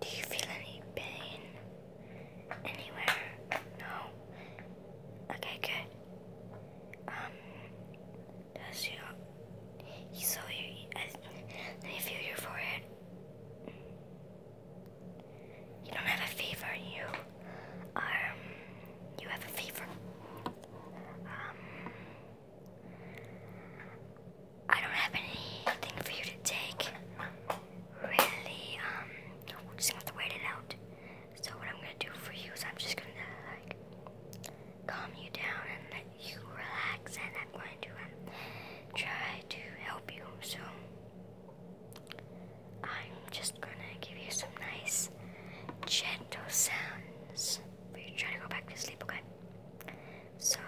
Do you feel any pain anywhere? No. Okay, good. Um, does your you I, feel your forehead. You don't have a fever. You um you have a fever. Um. I don't have anything for you to take. Really, um, just have to wait it out. So what I'm gonna do for you is I'm just gonna like calm you down and let you relax, and I'm going to um, try to help you. So I'm just gonna give you some nice, gentle sounds for you to to go back to sleep, okay? So,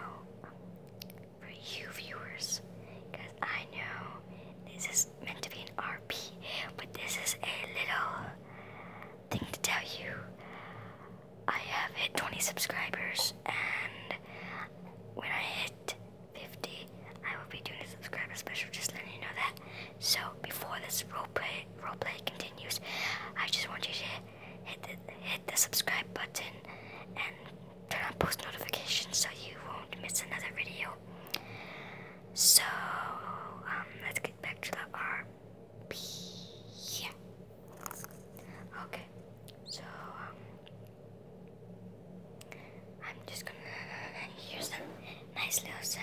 for you viewers, because I know this is meant to be an RP, but this is a little thing to tell you. I have hit 20 subscribers, and when I hit 50, I will be doing a subscriber special, just letting you know that. So before this role play continues, I just want you to hit the, hit the subscribe button and turn on post notifications so you won't miss another video. So um, let's get back to the RP. Okay. So um, I'm just gonna hear some nice little sound.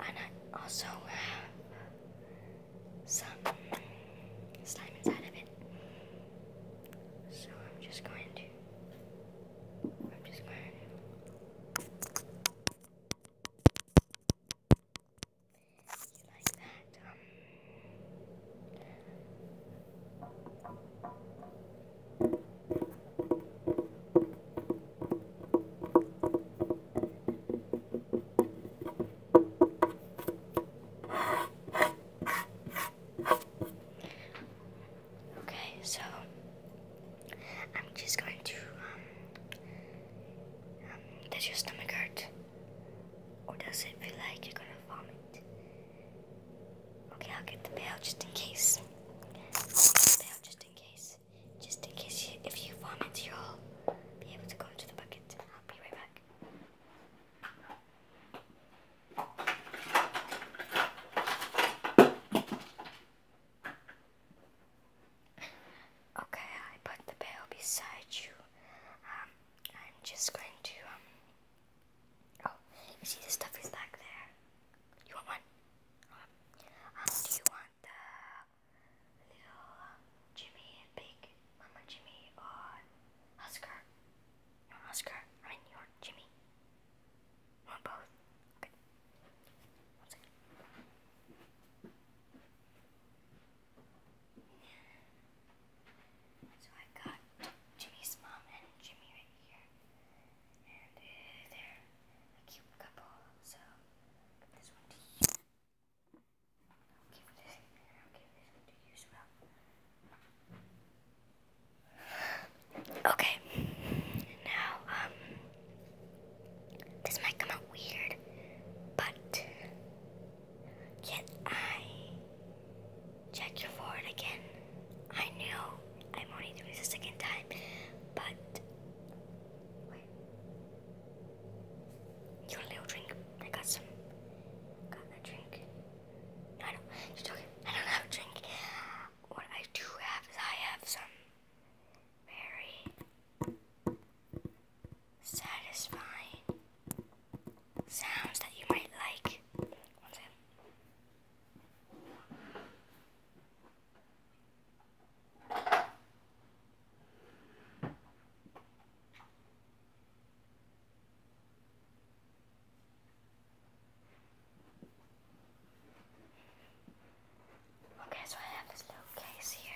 And also some slime inside of it. So I'm just going to I'm just going to like that. Okay, so I'm just going to um, um, does your stomach hurt? Or does it feel like you're gonna vomit? Okay, I'll get the pail just in case. i just in case just in case you, if you vomit you'll be able to go into the bucket. I'll be right back. Okay, I put the pail beside you. Um, I'm just going to, um, oh, see the stuff is back there. You want one? Um, do you want contact little Jimmy and Big Mama Jimmy or Oscar. No, Oscar. I mean, you Jimmy. want both? Okay. So I got Jimmy's mom and Jimmy right here. And they're a cute couple, so Okay. Now, um, this might come out weird, but can I check your forehead again? I know I'm only doing this a second time, but you want a little drink? I got some. Got a drink. I don't. It's okay. I don't have a drink. What I do have is I have some very satisfying sounds that you might like. Okay, so I have this little case here.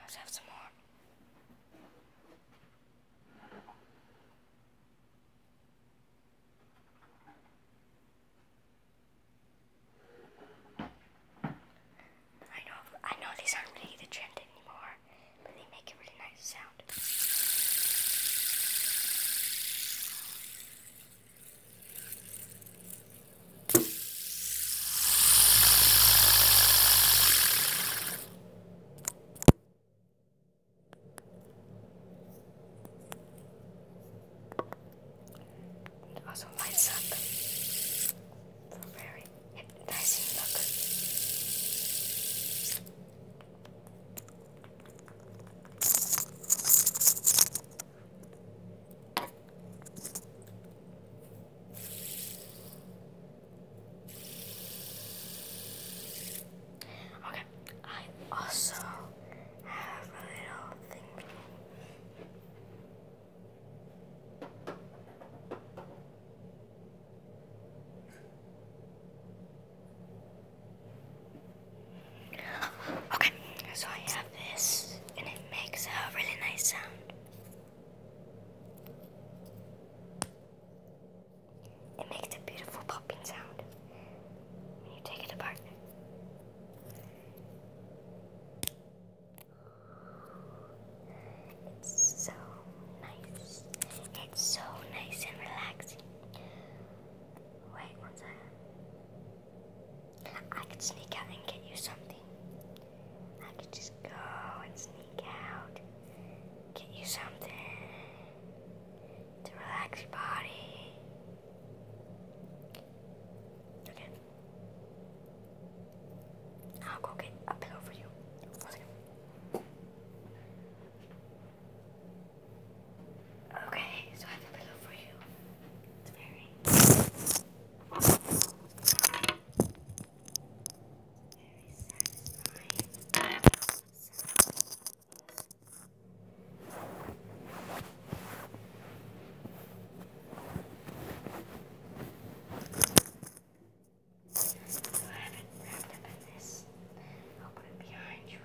Let's have some more. I know I know these aren't really the trend anymore, but they make a really nice sound. It also lights up for a very hypnotizing look. Okay, I also have a little thing. Okay, so I have this, and it makes a really nice sound. It makes a beautiful popping sound when you take it apart. It's so nice. It's so nice and relaxing. Wait one second. I could sneak out and get you something. I could just go and sneak out, get you something to relax your body. Okay. I'll go get a pillow for you. Okay, so I have a pillow for you. It's very. Very satisfying. Just go ahead and grab the business. I'll put it behind you.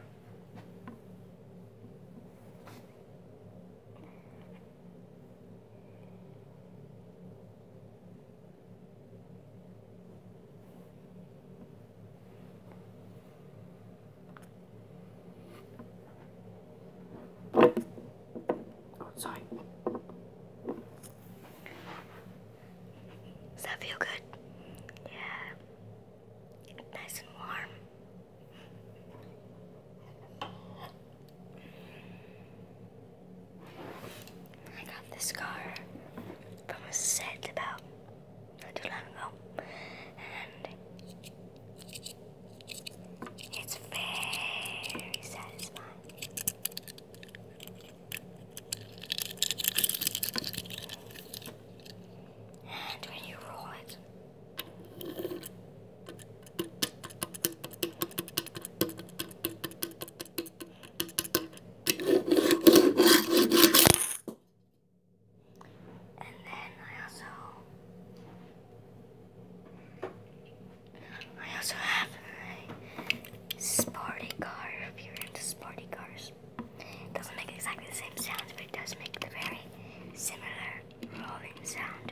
Oh, sorry. Does that feel good? Yeah. Nice and warm. I got this scar from a set about not too long ago, and it's very satisfying. And when you roll it, and then I also I also have a sporty car if you're into sporty cars. It doesn't make exactly the same sounds, but it does make the very similar rolling sound.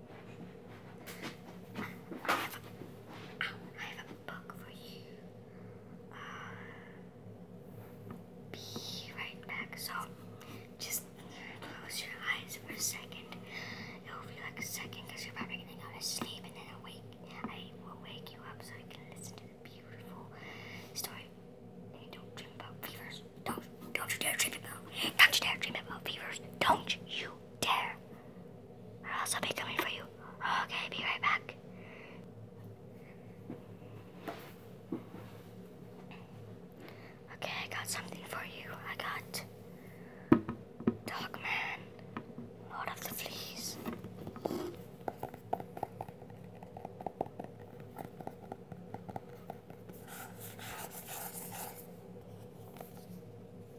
I have a book for you. Uh, be right back. So, just close your eyes for a second. It will be like a second you're probably gonna go to sleep and then awake. I will wake you up so you can listen to the beautiful story. don't dream about fevers. Don't, don't you dare dream about. Don't you dare dream about fevers. Don't you dare. Or else I'll be coming for you. Okay, be right back. Okay, I got something for you. I got Dogman, Lord of the Fleas.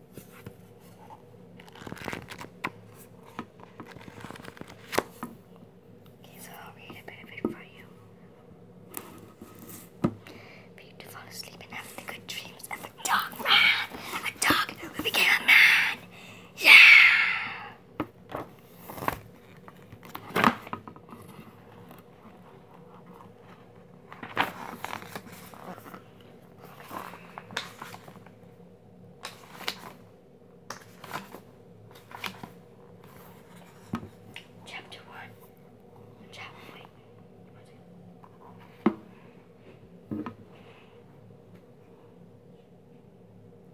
Okay, so I'll read a bit of it for you. For you to fall asleep and have the good dreams of a dog man, a dog who became a man. Yeah. Chapter one. Chapter one.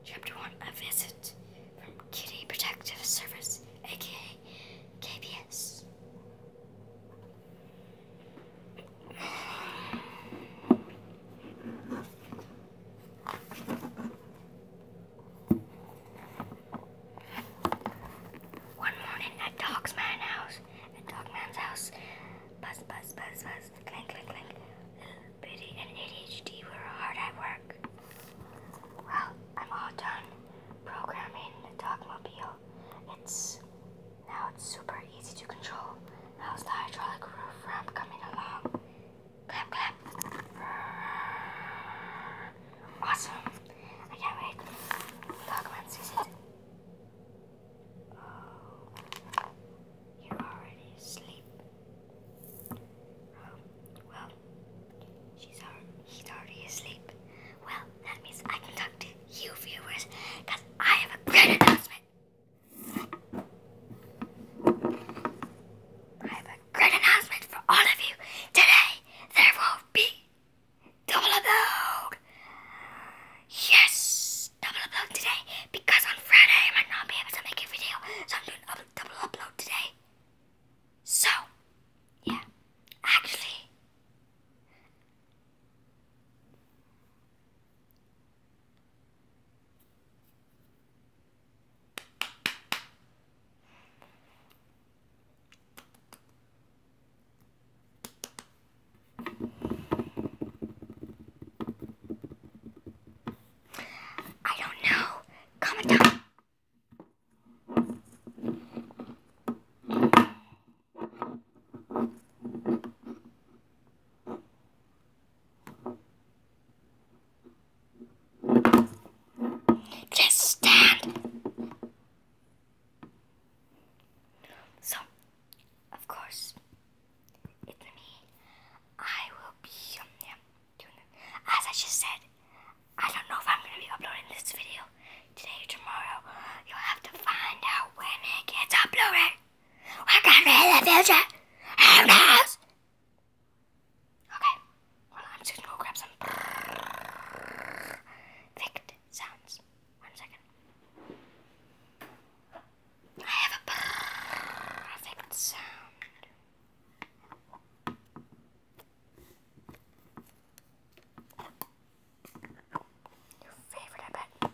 Chapter one. A visit from Kitty Protective Service, aka KPS. One morning at Dog's man house, at Dog Man's house, buzz, buzz, buzz, buzz, clank, clank, clank. Little and ADHD were hard at work. Well, I'm all done programming the Dogmobile. It's now it's super easy to control. How's the hydraulic roof ramp coming along? Clap, clap. Awesome. I can't wait. Dogman sees oh, you're already asleep. Oh, well, she's already, he's already asleep. Well, that means I can talk to you viewers I have a great announcement. I have a great announcement for all of you. Today, there will be double upload. Yes, double upload today because on Friday I might not be able to make a video, so I'm doing a double upload today. So, yeah, actually, I don't know. Comment down. Just stand. So, of course, it's me. I will be um, yeah, doing it. As I just said, I don't know if I'm going to be uploading this video today tomorrow, you'll have to find out when it gets uploaded. We're gonna be in the Okay. Well, I'm just gonna go grab some perfect sounds. One second. I have a perfect sound. Your favorite, I bet.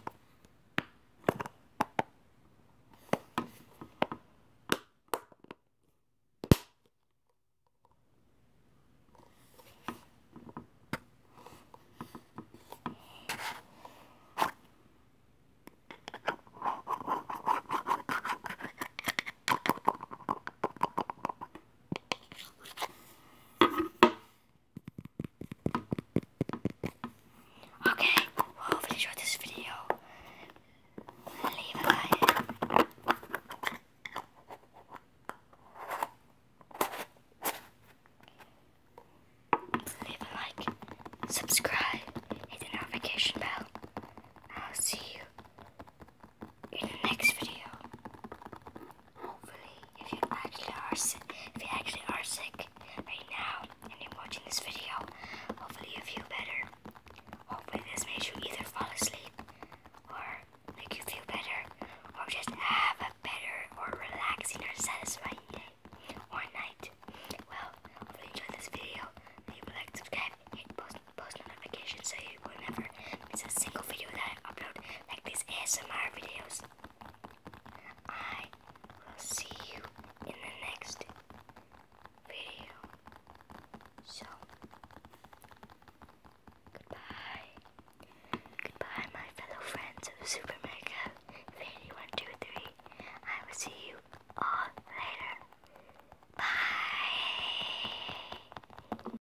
Okay, well, you enjoyed this video. Leave a like. Leave a like, subscribe, hit the notification bell. I'll see you in the next video. Hopefully, if you actually are sick, if you actually are sick right now and you're watching this video, hopefully you feel better. Hopefully this makes you either fall asleep or make you feel better or just have a better or relaxing or satisfying day or night. Well, hopefully you enjoyed this video. Leave a like, subscribe, hit post, post notifications so you whenever there's a single video that I upload, like these ASMR videos. I will see you in the next video. So, goodbye. Goodbye, my fellow friends of Super Mega 80123. I will see you all later. Bye.